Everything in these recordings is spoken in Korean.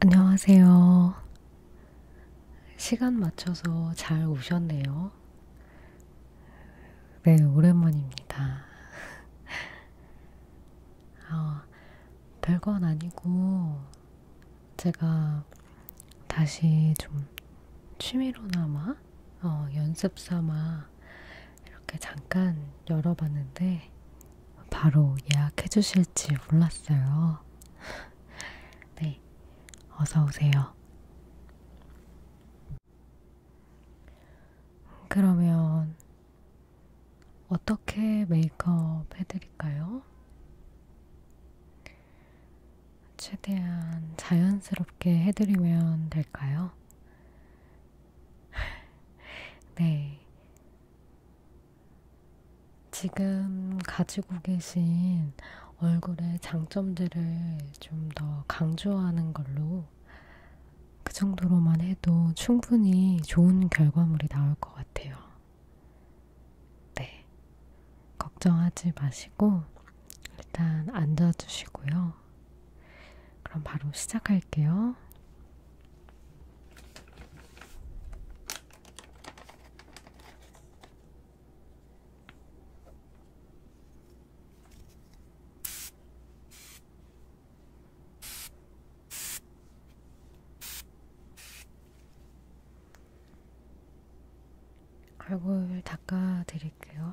안녕하세요. 시간 맞춰서 잘 오셨네요. 네, 오랜만입니다. 어, 별건 아니고, 제가 다시 좀 취미로나마, 어, 연습 삼아 이렇게 잠깐 열어봤는데 바로 예약해 주실지 몰랐어요. 네, 어서 오세요. 그러면 어떻게 메이크업 해드릴까요? 최대한 자연스럽게 해드리면 될까요? 네. 지금 가지고 계신 얼굴의 장점들을 좀 더 강조하는 걸로 그 정도로만 해도 충분히 좋은 결과물이 나올 것 같아요. 네. 걱정하지 마시고 일단 앉아주시고요. 그럼 바로 시작할게요. 얼굴 닦아 드릴게요.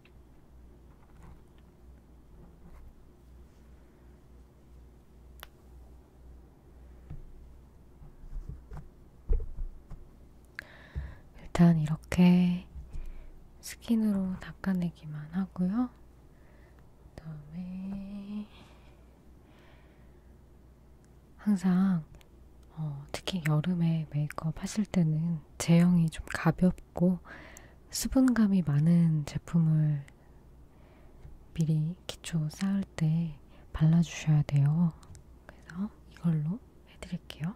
일단 이렇게 스킨으로 닦아내기만 하고요. 그다음에 항상 어, 특히 여름에 메이크업 하실 때는 제형이 좀 가볍고 수분감이 많은 제품을 미리 기초 쌓을 때 발라주셔야 돼요. 그래서 이걸로 해드릴게요.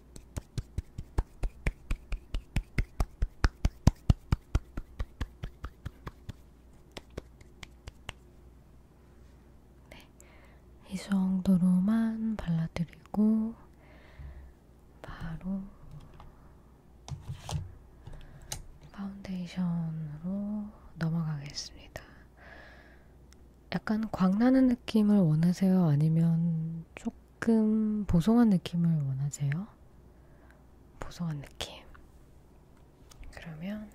네, 이 정도로만 발라드리고 바로 파운데이션으로 넘어가겠습니다. 약간 광나는 느낌을 원하세요? 아니면 조금 조금 보송한 느낌을 원하세요? 보송한 느낌. 그러면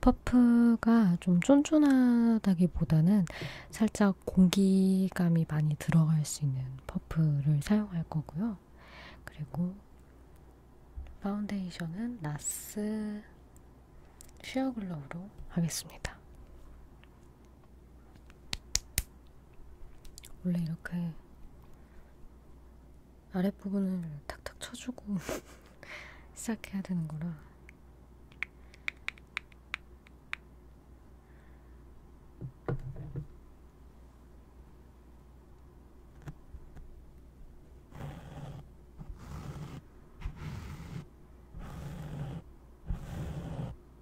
퍼프가 좀 쫀쫀하다기보다는 살짝 공기감이 많이 들어갈 수 있는 퍼프를 사용할 거고요. 그리고 파운데이션은 나스 쉐어글로우로 하겠습니다. 원래 이렇게 아랫부분을 탁탁 쳐주고 시작해야 되는 거라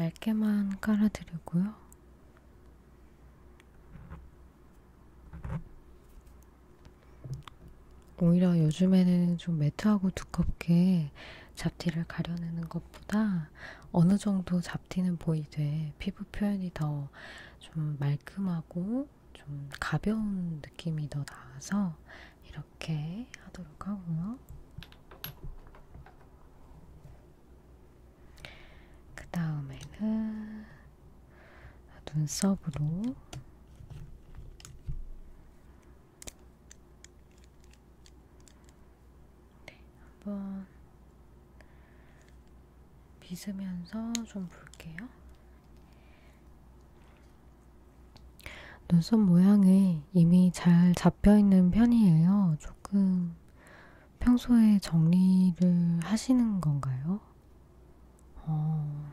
얇게만 깔아드리고요. 오히려 요즘에는 좀 매트하고 두껍게 잡티를 가려내는 것보다 어느 정도 잡티는 보이되 피부 표현이 더 좀 말끔하고 좀 가벼운 느낌이 더 나아서 이렇게 하도록 하고요. 그 다음에는 눈썹으로 네, 한번 빗으면서 좀 볼게요. 눈썹 모양이 이미 잘 잡혀있는 편이에요. 조금 평소에 정리를 하시는 건가요? 어...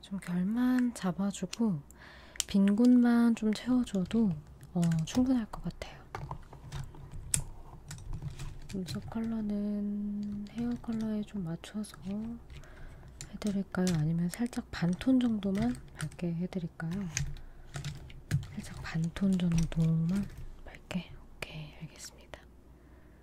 좀 결만 잡아주고 빈 곳만 좀 채워줘도 어, 충분할 것 같아요. 눈썹 컬러는 헤어 컬러에 좀 맞춰서 해드릴까요? 아니면 살짝 반 톤 정도만 밝게 해드릴까요? 살짝 반 톤 정도만 밝게? 오케이, 알겠습니다.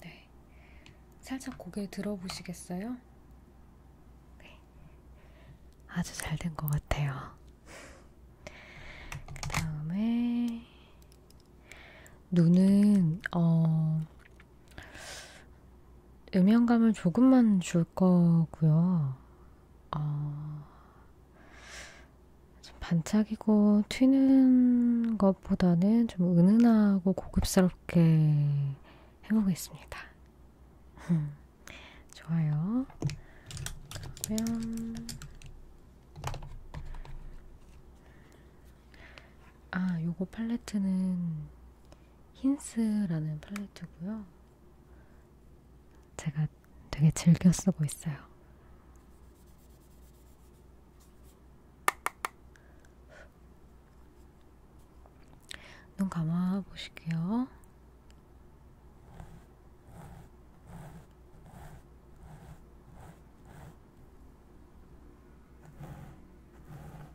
네. 살짝 고개 들어보시겠어요? 네. 아주 잘 된 것 같아요. 그 다음에, 눈은, 어, 음영감을 조금만 줄 거고요. 어, 좀 반짝이고 튀는 것보다는 좀 은은하고 고급스럽게 해보겠습니다. 좋아요. 그러면 아, 요거 팔레트는 힌스라는 팔레트고요. 제가 되게 즐겨 쓰고 있어요. 눈 감아 보실게요.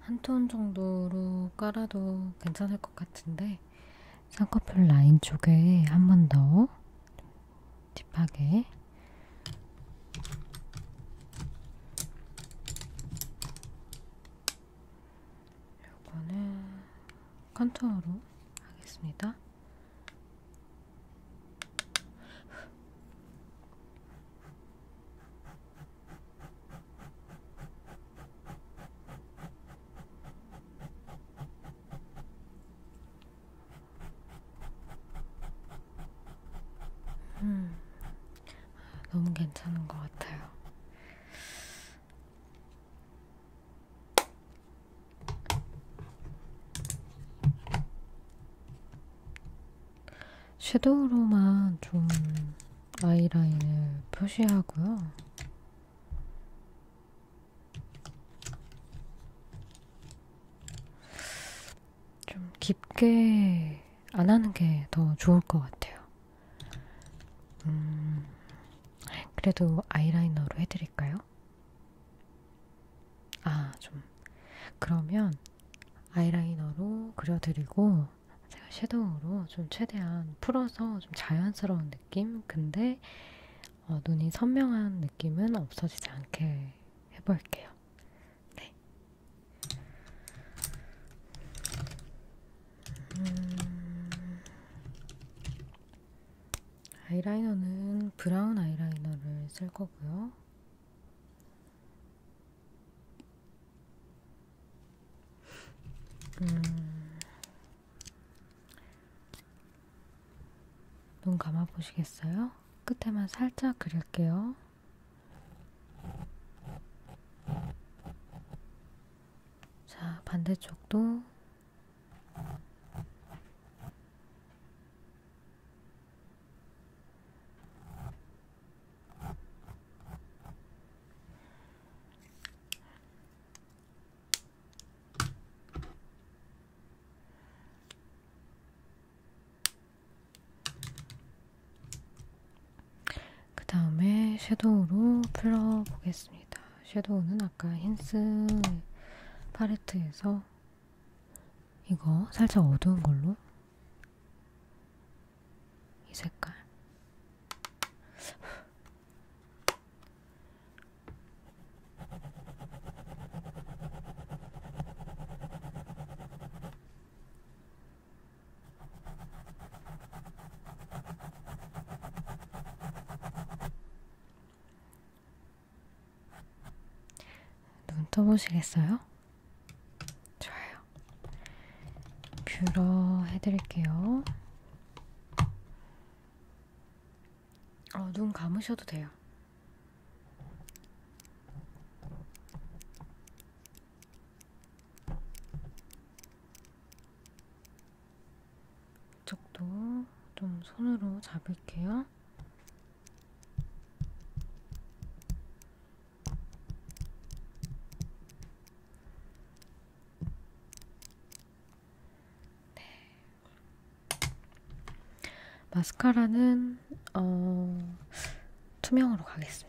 한톤 정도로 깔아도 괜찮을 것 같은데 쌍꺼풀 라인 쪽에 한 번 더 딥하게 요거는 컨투어로 하겠습니다. 음, 너무 괜찮은 것 같아요. 섀도우로만 좀 아이라인을 표시하고요. 좀 깊게 안 하는 게 더 좋을 것 같아요. 음, 그래도 아이라이너로 해드릴까요? 아, 좀. 그러면 아이라이너로 그려드리고, 제가 섀도우로 좀 최대한 풀어서 좀 자연스러운 느낌? 근데 어, 눈이 선명한 느낌은 없어지지 않게 해볼게요. 네. 음, 아이라이너는 브라운 아이라이너를 쓸 거고요. 음, 눈 감아 보시겠어요? 끝에만 살짝 그릴게요. 자, 반대쪽도 그 다음에 섀도우로 풀러보겠습니다. 섀도우는 아까 힌스 팔레트에서 이거 살짝 어두운 걸로 이 색깔. 눈 떠보시겠어요? 좋아요. 뷰러 해드릴게요. 어, 눈 감으셔도 돼요. 이쪽도 좀 손으로 잡을게요. 네. 마스카라는 어, 투명으로 가겠습니다.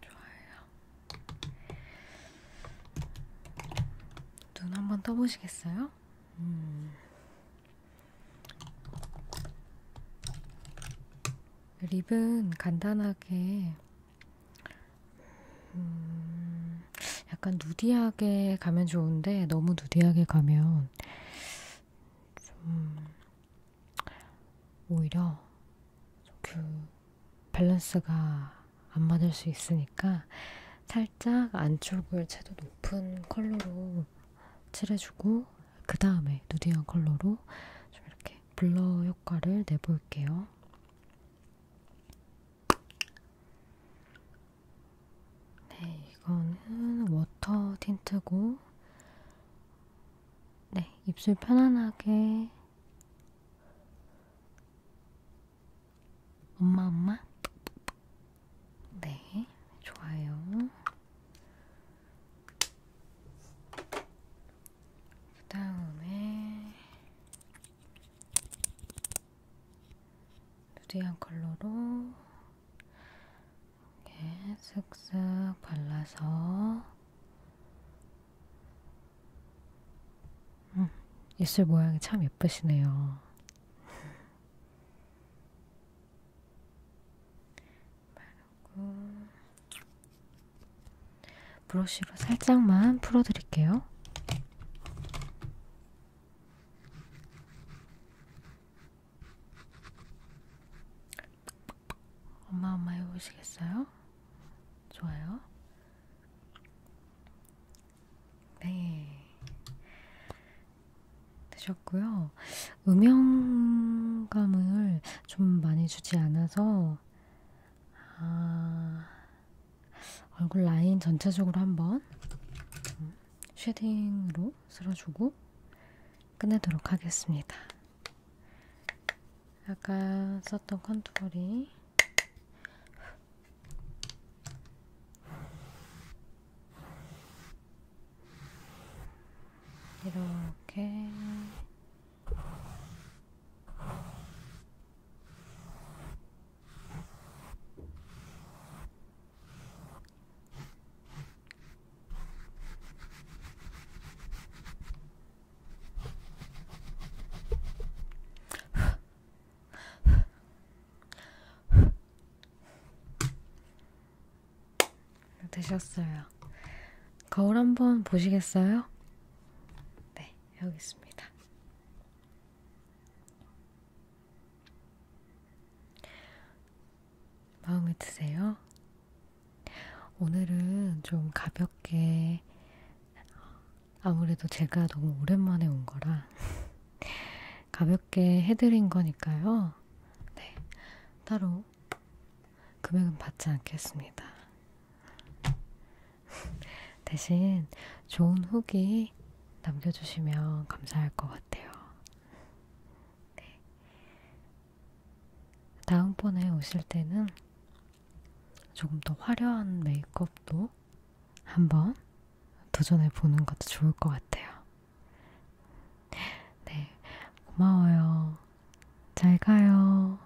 좋아요. 눈 한번 떠보시겠어요? 음. 립은 간단하게 음, 약간 누디하게 가면 좋은데 너무 누디하게 가면 좀 오히려 그 밸런스가 안 맞을 수 있으니까 살짝 안쪽을 채도 높은 컬러로 칠해주고 그 다음에 누디한 컬러로 좀 이렇게 블러 효과를 내볼게요. 네, 이거는 워터 틴트고, 네, 입술 편안하게. 엄마, 엄마? 네, 좋아요. 그 다음에, 누디한 컬러로 이렇게 쓱쓱 발라서 음, 입술 모양이 참 예쁘시네요. 바르고 브러쉬로 살짝만 풀어드릴게요. 엄마 엄마 해보시겠어요? 좋아요. 네. 되셨고요. 음영감을 좀 많이 주지 않아서 아, 얼굴 라인 전체적으로 한번 쉐딩으로 쓸어주고 끝내도록 하겠습니다. 아까 썼던 컨투어링 이렇게 되셨어요. 거울 한번 보시겠어요? 네, 여기 있습니다. 마음에 드세요? 오늘은 좀 가볍게 아무래도 제가 너무 오랜만에 온 거라 가볍게 해드린 거니까요. 네, 따로 금액은 받지 않겠습니다. 대신 좋은 후기 남겨주시면 감사할 것 같아요. 네. 다음번에 오실 때는 조금 더 화려한 메이크업도 한번 도전해 보는 것도 좋을 것 같아요. 네, 고마워요. 잘 가요.